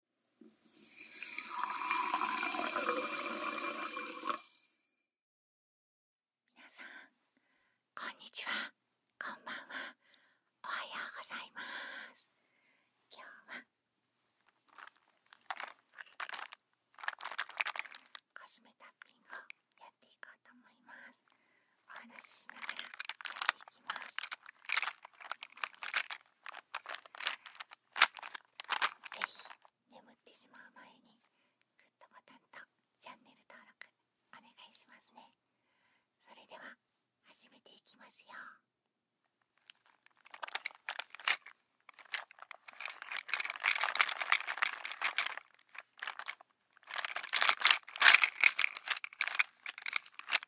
皆さんこんにちはこんばんはおはようございます今日はコスメタッピングをやっていこうと思いますお話ししながらやっていきますぜひ眠ってしまう前にグッドボタンとチャンネル登録お願いしますねそれでは始めていきますよ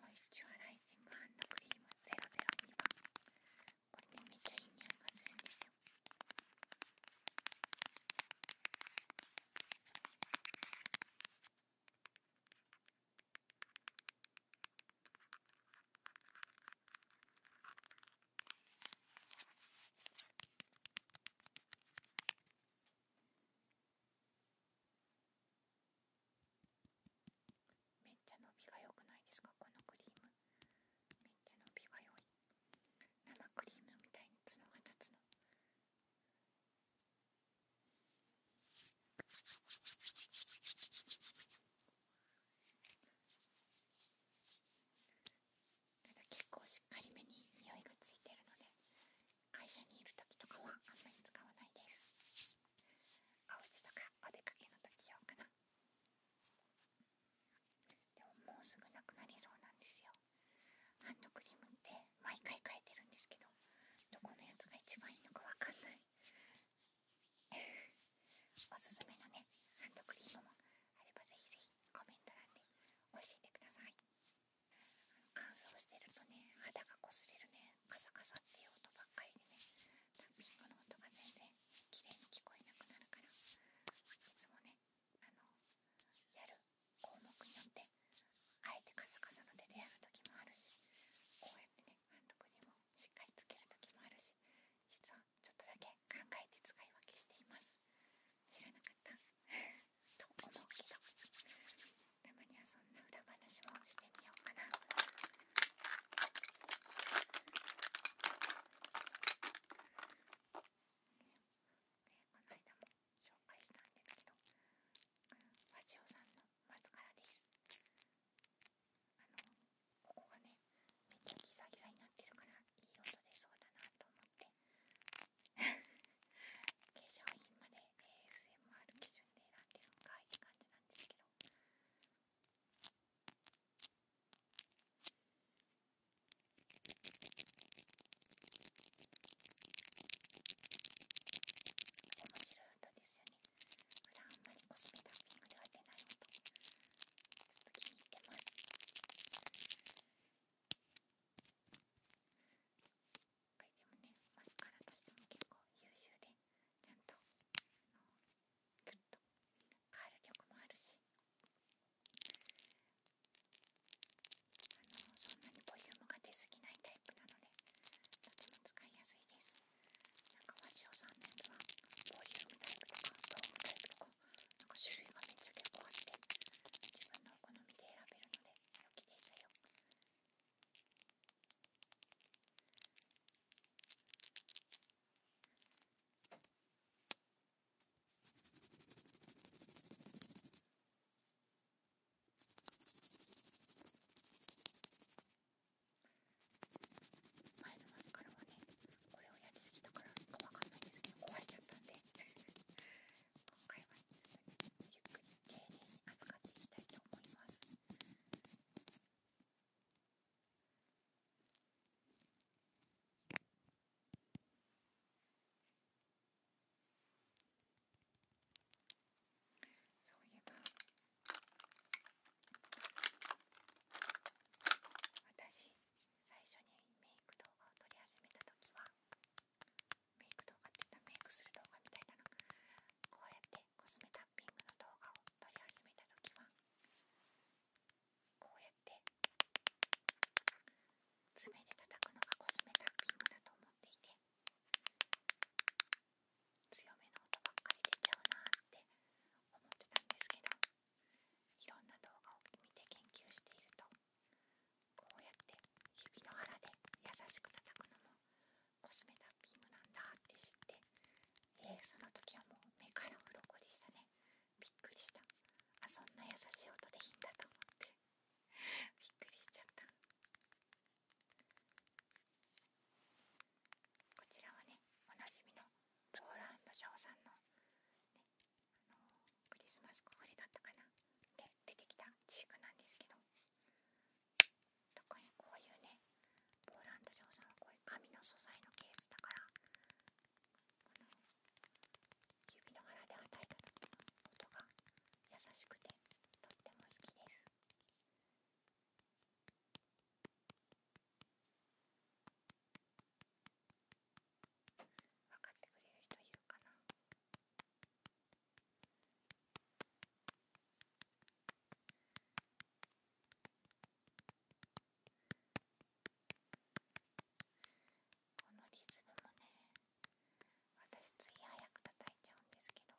モイスチュアライジングハンドクリーム002番これねめっちゃいい匂いがするんですよめっちゃ伸びが良くないですかこのクリームめっちゃ伸びが良い生クリームみたいに角が立つのただ結構しっかりめに匂いがついてるので会社にいる時とかはあんまり使わないですお家とかお出かけの時用かなでももうすぐなくなりそうなんですよハンドクリームって毎回変えてるんですけどどこのやつが一番いいのかわかんない おすすめのねハンドクリームもあればぜひぜひコメント欄で教えてください乾燥してるとね肌がこすれるねカサカサっていう音ばっかりでねタッピングの音が全然綺麗に聞こえなくなるからいつもねあのやる項目によってあえてカサカサの手でやる時もあるしこうやってね監督にもしっかりつける時もあるし実はちょっとだけ考えて使い分けしています知らなかった と思うけどたまにはそんな裏話もしてみようかなこの間も紹介したんですけど和千代さんのマスカラですあのここがねめっちゃギザギザになってるからいい音出そうだなと思って 化粧品まで ASMR 基準で選んでるんかいって感じなんですけどど面白い音ですよね普段あんまり腰目タッピングでは出ない音ちょっと気に入ってますぱいでもねマスカラとしても結構優秀でちゃんとグッとカール力もあるしあのそんなにボリュームが出すぎないタイプなのでとても使いやすいですなんか和シオさんのやつはボリュームタイプとかドームタイプとかなんか種類がめっちゃ結構あって自分のお好みで選べるので良きでしたよ前のマスカラはねこれをやりすぎたからかわかんないですけど壊れちゃったんで今回はゆっくり丁寧に扱っていきたいと思いますそういえば私最初にメイク動画を撮り始めた時はメイク動画って言ったらメイクする動画みたいなのこうやってコスメタッピングの動画を撮り始めた時はこうやって爪で叩くのがコスメタッピングだと思っていて強めの音ばっかり出ちゃうなって思ってたんですけどいろんな動画を見て研究しているとこうやって指の腹で優しく叩くのもコスメタピングなんだって知って、えその時はもう目から鱗でしたねびっくりしたあそんな優しい音でいいんと思って びっくりしちゃったこちらはねおなじみのローランド・ジョーさんの、クリスマスコフレだったかなで出てきたチークなんですけど特にこういうねポーランド量産はこういう紙の素材のケースだからこの指の腹ではたいた時の音が優しくてとっても好きです。分かってくれる人いるかなこのリズムもね私つい早く叩いちゃうんですけど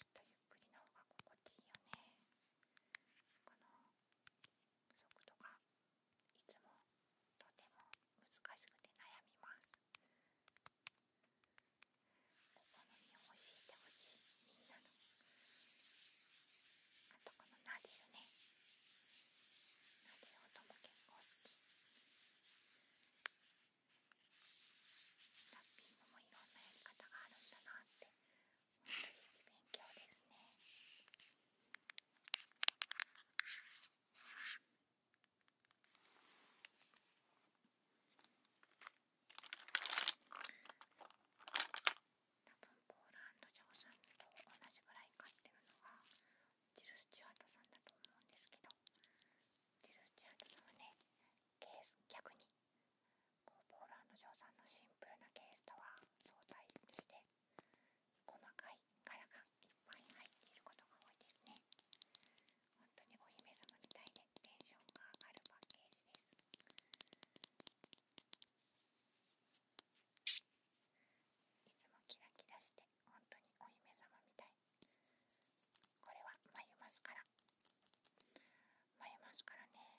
きっとゆっくりの方が心地いいよねこの速度がいつもとても難しくて悩みますお好みを教えてほしいみんなのあとこのナでルねナでル音も結構好きラッピングもいろんなやり方があるんだなって本当に日々勉強ですね。多分ポーランド城さんと同じぐらい買ってるのがジル・スチュアートさんだと思うんですけどジル・スチュアートさんはねケース逆にこうポーランド城さんのシンプルなケースとは相対して細かい柄がいっぱい入っていることが多いですね。本当にお姫様みたいでテンションが上がるパッケージですいつもキラキラして本当にお姫様みたいこれは眉マスカラ眉マスカラね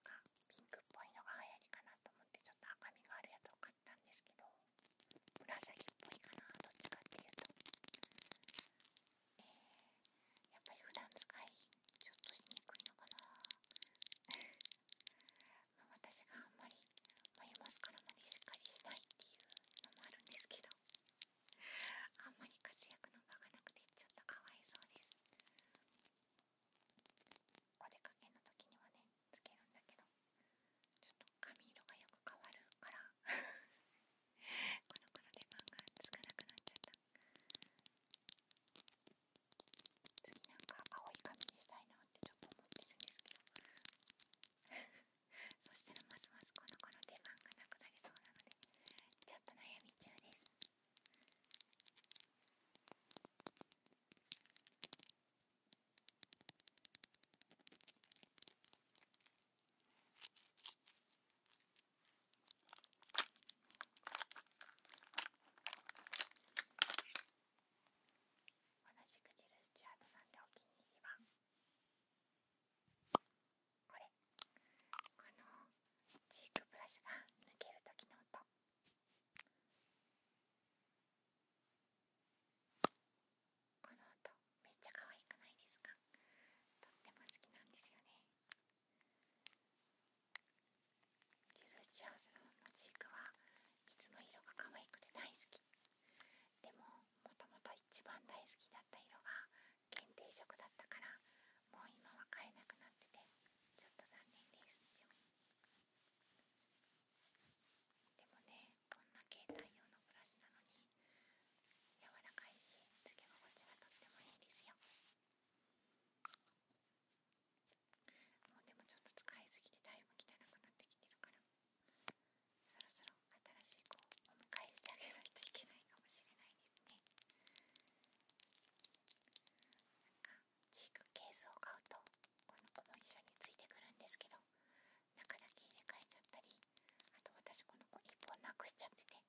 なんかピンクっぽいのが流行りかなと思ってちょっと赤みがあるやつを買ったんですけど紫っぽいかなどっちかっていうと、えー、やっぱり普段使いちょっとしにくいのかなまあ私があんまり眉マスカラまでしっかりしたいっていうのもあるんですけどあんまり活躍の場がなくてちょっとかわいそうですお出かけの時にはねつけるんだけどちょっと髪色がよく変わるから この子の出番が少なくなっちゃった次なんか青い髪にしたいなってちょっと思ってるんですけど そしたらますますこの子の出番がなくなりそうなのでちょっと悩み中です 同じくジルチュアートさんでお気に入りはこれこのチークブラシが抜ける時の音この音めっちゃ可愛くないですかとっても好きなんですよねキルチャーズロンのチークはいつも色が可愛くて大好きでももともと一番大好きだった色が限定色だったからもう今は買えなくなっててちょっと残念ですでもねこんな携帯用のブラシなのに柔らかいしつけ心地がとってもいいですよもうでもちょっと使いすぎてだいぶ汚くなってきてるからそろそろ新しい子をお迎えしてあげないといけないかもしれないですねなんかチークケースを買うとこの子も一緒についてくるんですけど中だけ入れ替えちゃったりあと私この子1本なくしちゃってて2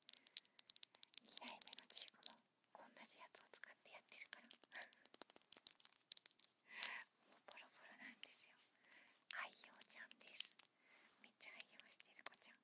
代目のチークも同じやつを使ってやってるから もうボロボロなんですよ愛用ちゃんですめっちゃ愛用してる子ちゃん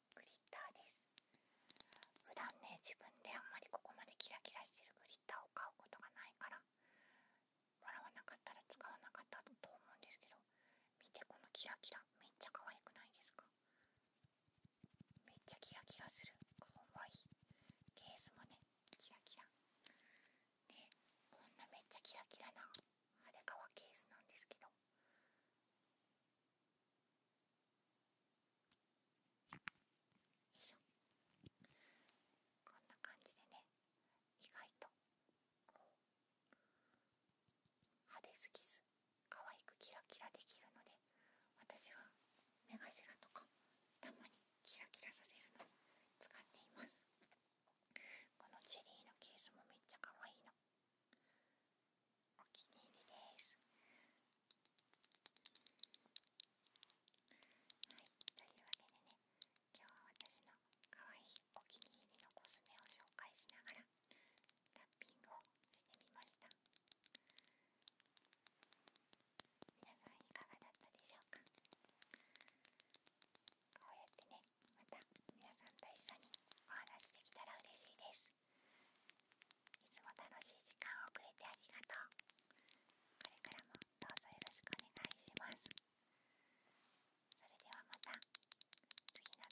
グリッターです普段ね自分であんまりここまでキラキラしてるグリッターを買うことがないから笑わなかったら使わなかったと思うんですけど見てこのキラキラめっちゃ可愛くないですかめっちゃキラキラするかわいいケースもねキラキラでこんなめっちゃキラキラな派手革ケースなんですけどよいしょこんな感じでね意外とこう派手すぎず可愛くキラキラできるので私は目頭とかたまにキラキラさせるのに使っていますこのチェリーのケースもめっちゃ可愛いのお気に入りですはいというわけでね今日は私の可愛いお気に入りのコスメを紹介しながらラッピングをしてみました皆さんいかがだったでしょうかこうやってねまた皆さんと一緒にお話できたら嬉しいですいつも楽しい時間をくれてありがとうこれからもどうぞよろしくお願いしますそれではまた次の動画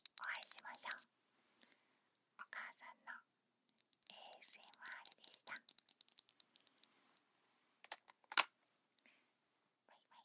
でお会いしましょうお母さんの ASMR でしたバイバイ